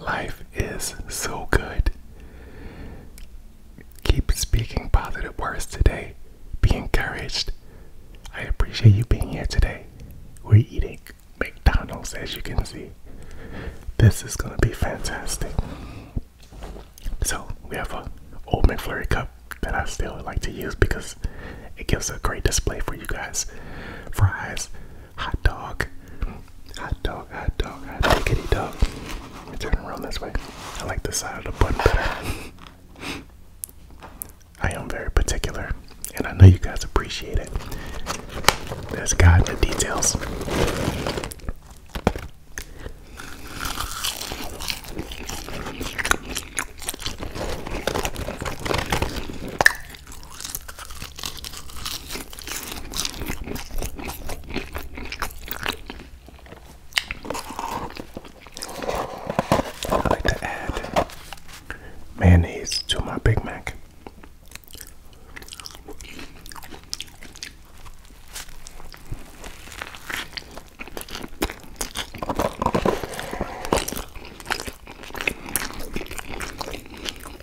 Life is so good. Keep speaking positive words today. Be encouraged. I appreciate you being here today. We're eating McDonald's, as you can see. This is going to be fantastic. So, we have a old McFlurry cup that I still like to use because it gives a great display for you guys. Fries, Hot dog. Hot dog, hot dog, hot dog, kitty dog. Let me turn around this way. I like the side of the button better. I am very particular, and I know you guys appreciate it. There's God in the details. I like to add mayonnaise to my Big Mac.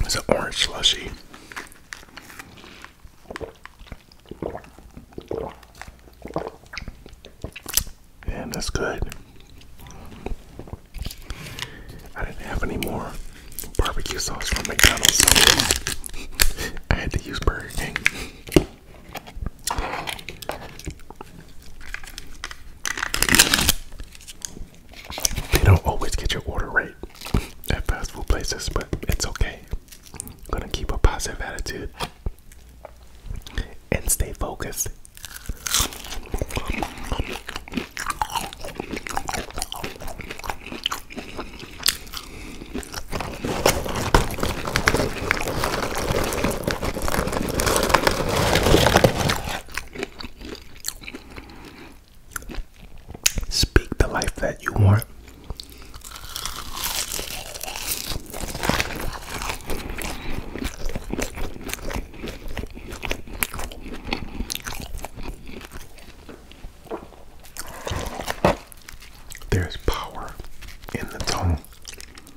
It's an orange slushy. and that's good. I didn't have any more barbecue sauce from McDonald's, I had to use Burger King. They don't always get your order right at fast food places, but it's okay. I'm gonna keep a positive attitude and stay focused. Speak the life that you want. There's power in the tongue.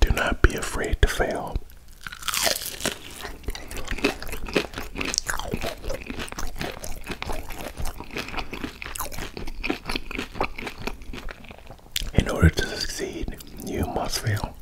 Do not be afraid to fail. In order to succeed, you must fail.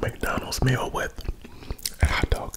McDonald's meal with a hot dog.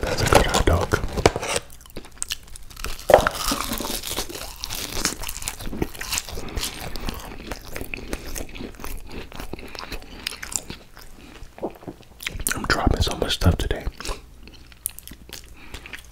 That's a good dog. I'm dropping so much stuff today.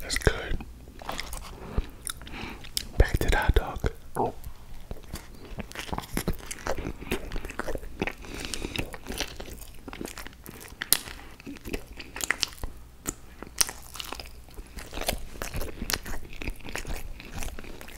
That's good. Back to the dog. Oh.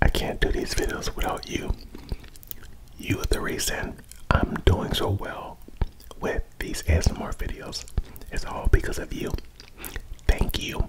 I can't do these videos without you. You are the reason I'm doing so well with these ASMR videos. It's all because of you. Thank you.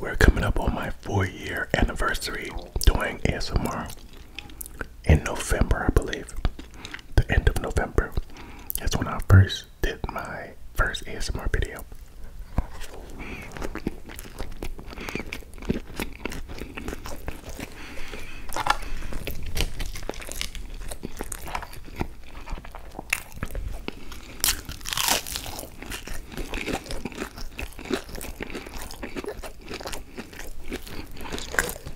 We're coming up on my four year anniversary doing ASMR in November, I believe, the end of November. That's when I first did my first ASMR video.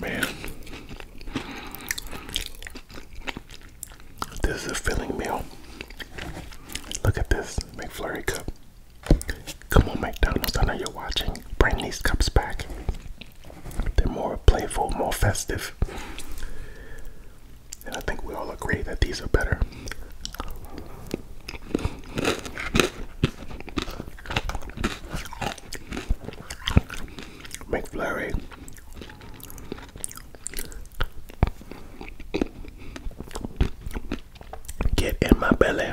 Man, this is a filling meal. Look at this McFlurry cup. Come on, McDonald's, I know you're watching. Bring these cups back. They're more playful, more festive. And I think we all agree that these are better. McFlurry. Get in my belly.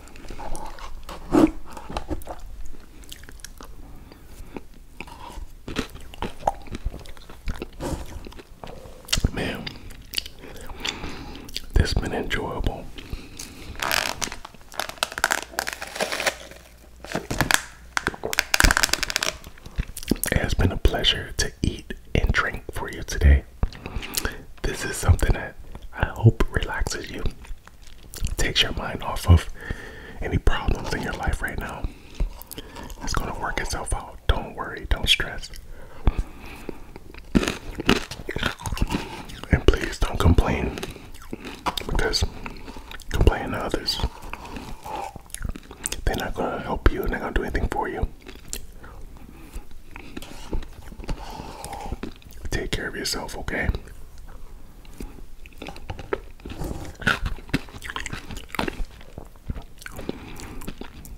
Man, this has been enjoyable. It has been a pleasure to eat and drink for you today. This is something that I hope relaxes you takes your mind off of any problems in your life right now. It's gonna work itself out. Don't worry, don't stress. And please don't complain because complaining to others, they're not gonna help you they're not gonna do anything for you. Take care of yourself, okay?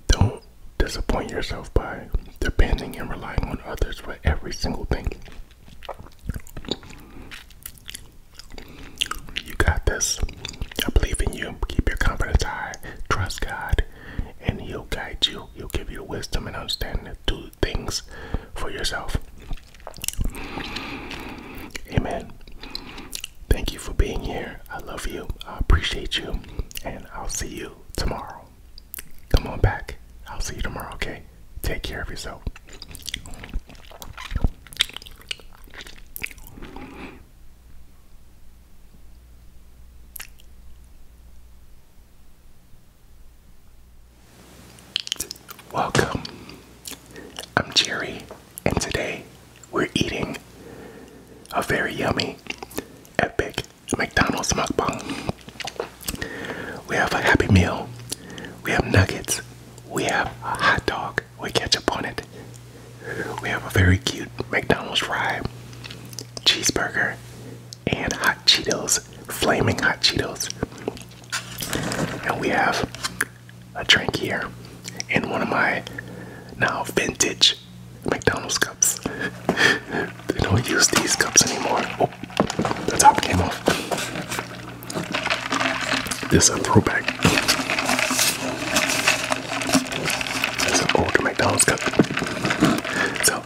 Don't disappoint yourself by depending and relying on others for every single thing. You got this. I believe in you. Keep your confidence high. Trust God, and He'll guide you. He'll give you wisdom and understanding too things for yourself. Amen. Thank you for being here. I love you. I appreciate you. And I'll see you tomorrow. Come on back. I'll see you tomorrow, okay? Take care of yourself. Welcome. I'm Jerry, and today we're eating a very yummy, epic McDonald's mukbang. We have a Happy Meal, we have nuggets, we have a hot dog with ketchup on it, we have a very cute McDonald's fry, cheeseburger, and hot Cheetos, flaming hot Cheetos. And we have a drink here in one of my now vintage McDonald's cups. they don't use these cups anymore. Oh, the top came off. This a throwback. It's an old McDonald's cup. So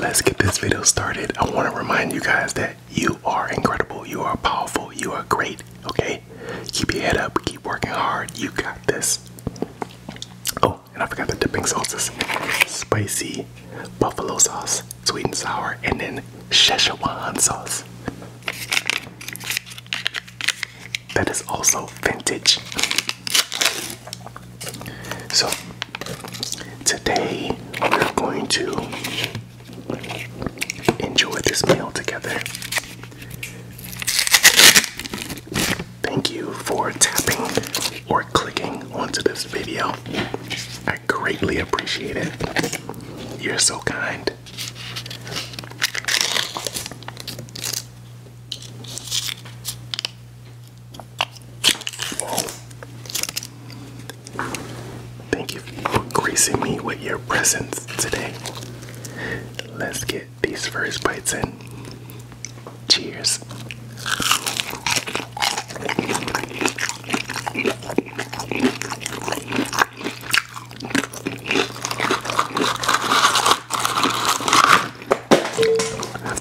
let's get this video started. I want to remind you guys that you are incredible, you are powerful, you are great, okay? Keep your head up, keep working hard, you got this. Oh, and I forgot the dipping sauces. Spicy buffalo sauce, sweet and sour, and then Szechuan sauce. That is also vintage. So today we're going to enjoy this meal together. Thank you for tapping or clicking onto this video. I greatly appreciate it. You're so kind. Thank you for gracing me with your presence today. Let's get these first bites in. Cheers.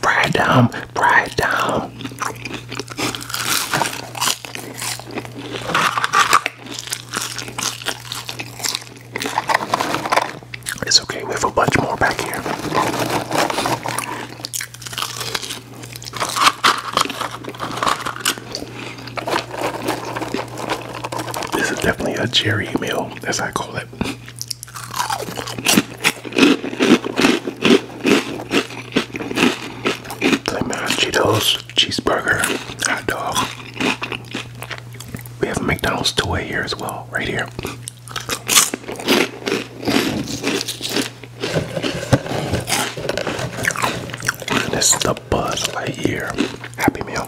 Fry down, fry down. It's okay, we have a bunch more back here. This is definitely a Jerry meal, as I call it. Play Cheetos, cheeseburger, hot dog. We have McDonald's toy here as well, right here. this is the Buzz Lightyear Happy Meal,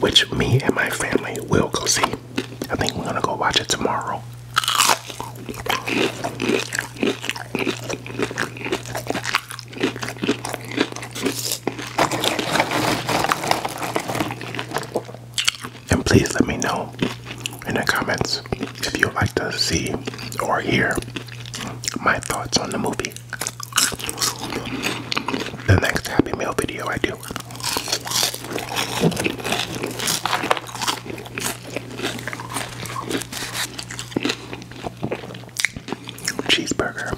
which me and my family will go see I think we're gonna go watch it tomorrow. And please let me know in the comments if you'd like to see or hear my thoughts on the movie. The next Happy Meal video I do. Cheeseburger.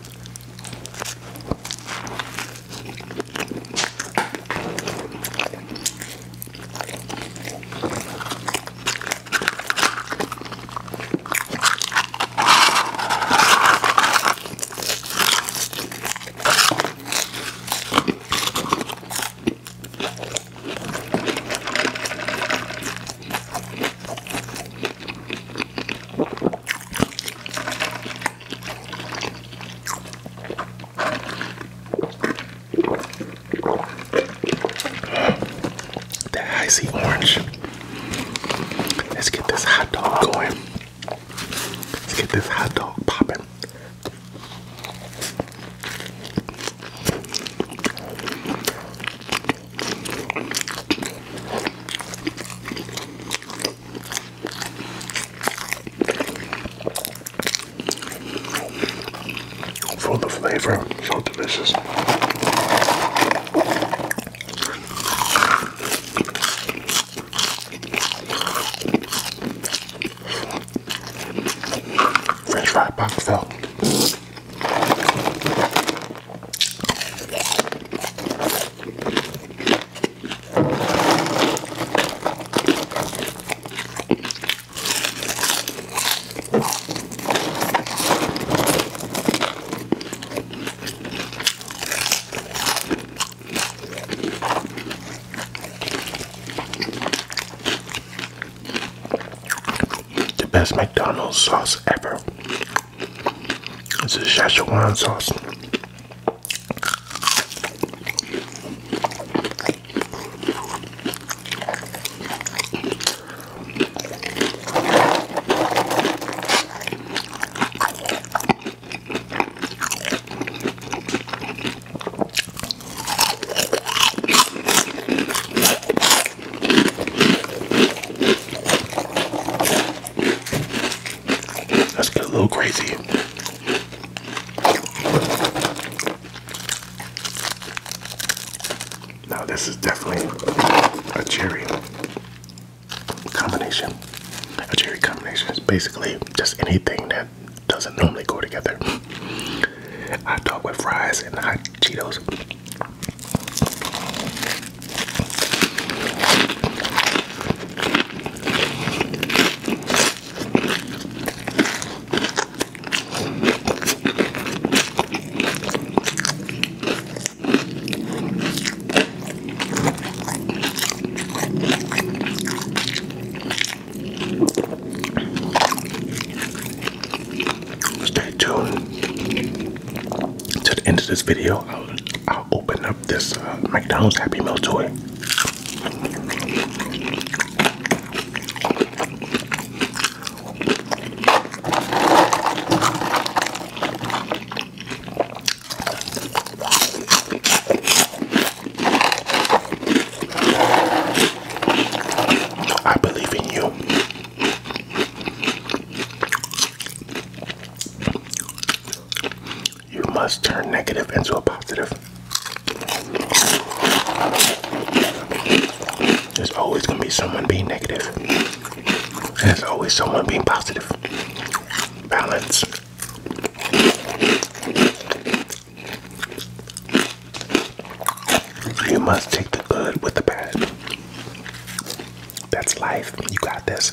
That icy orange. Let's get this hot dog going. Let's get this hot dog popping. For the flavor, so delicious. French fry boxtail. The best McDonald's sauce ever. It's a Szechuan sauce. Let's get a little crazy. Now, this is definitely a cherry combination. A cherry combination is basically just anything that doesn't normally go together. Hot dog with fries and hot Cheetos. Stay tuned to the end of this video. I'll, open up this uh, McDonald's Happy Meal toy. I believe in you. You must turn negative into a positive. There's always going to be someone being negative. There's always someone being positive. Balance. You must take the good with the bad. That's life. You got this.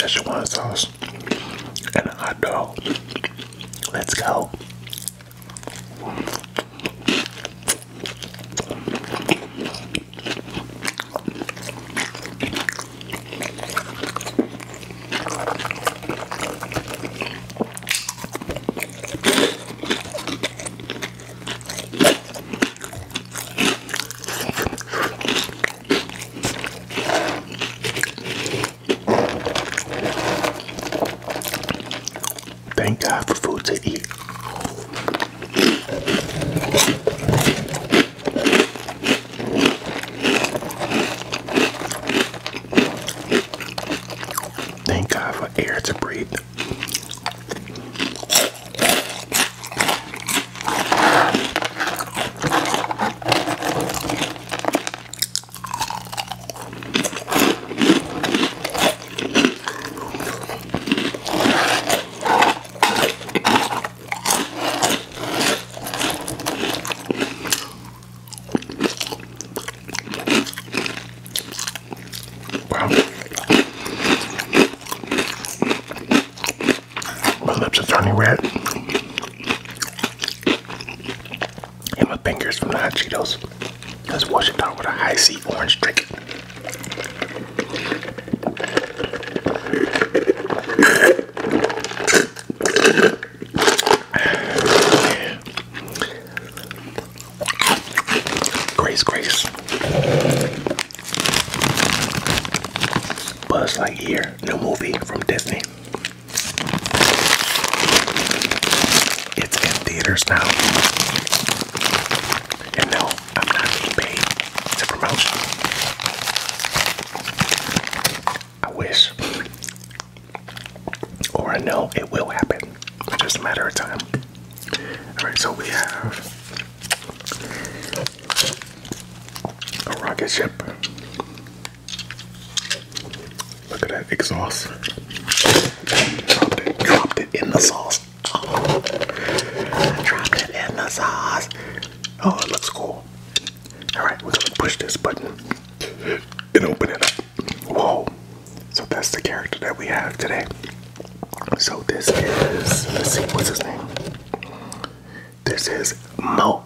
Szechuan sauce and I hot dog. Let's go. Thank God for food to eat. Thank God for air to breathe. Wow. My lips are turning red. And my fingers from the hot Cheetos. Let's wash it down with a high C orange drink. Grace, grace. Buzz Lightyear, new movie from Disney. It's in theaters now. And no, I'm not being paid. It's a I wish. Or I know it will happen. just a matter of time. Alright, so we have a rocket ship Look at that exhaust. Dropped it, dropped it in the sauce. dropped it in the sauce. Oh, it looks cool. Alright, we're gonna push this button and open it up. Whoa. So that's the character that we have today. So this is, let's see, what's his name? This is Mo.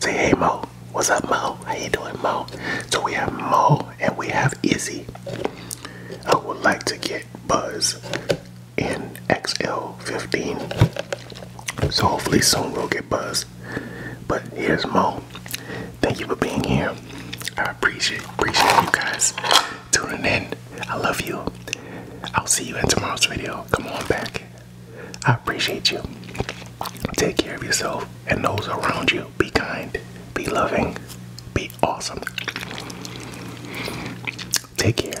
Say hey Mo. What's up Mo? How you doing Mo? So we have Mo and we have Izzy. I would like to get Buzz in XL15. So hopefully soon we'll get Buzz. But here's Mo. Thank you for being here. I appreciate appreciate you guys tuning in. I love you. I'll see you in tomorrow's video. Come on back. I appreciate you. Take care of yourself and those around you. Be kind, be loving, be awesome. Take care.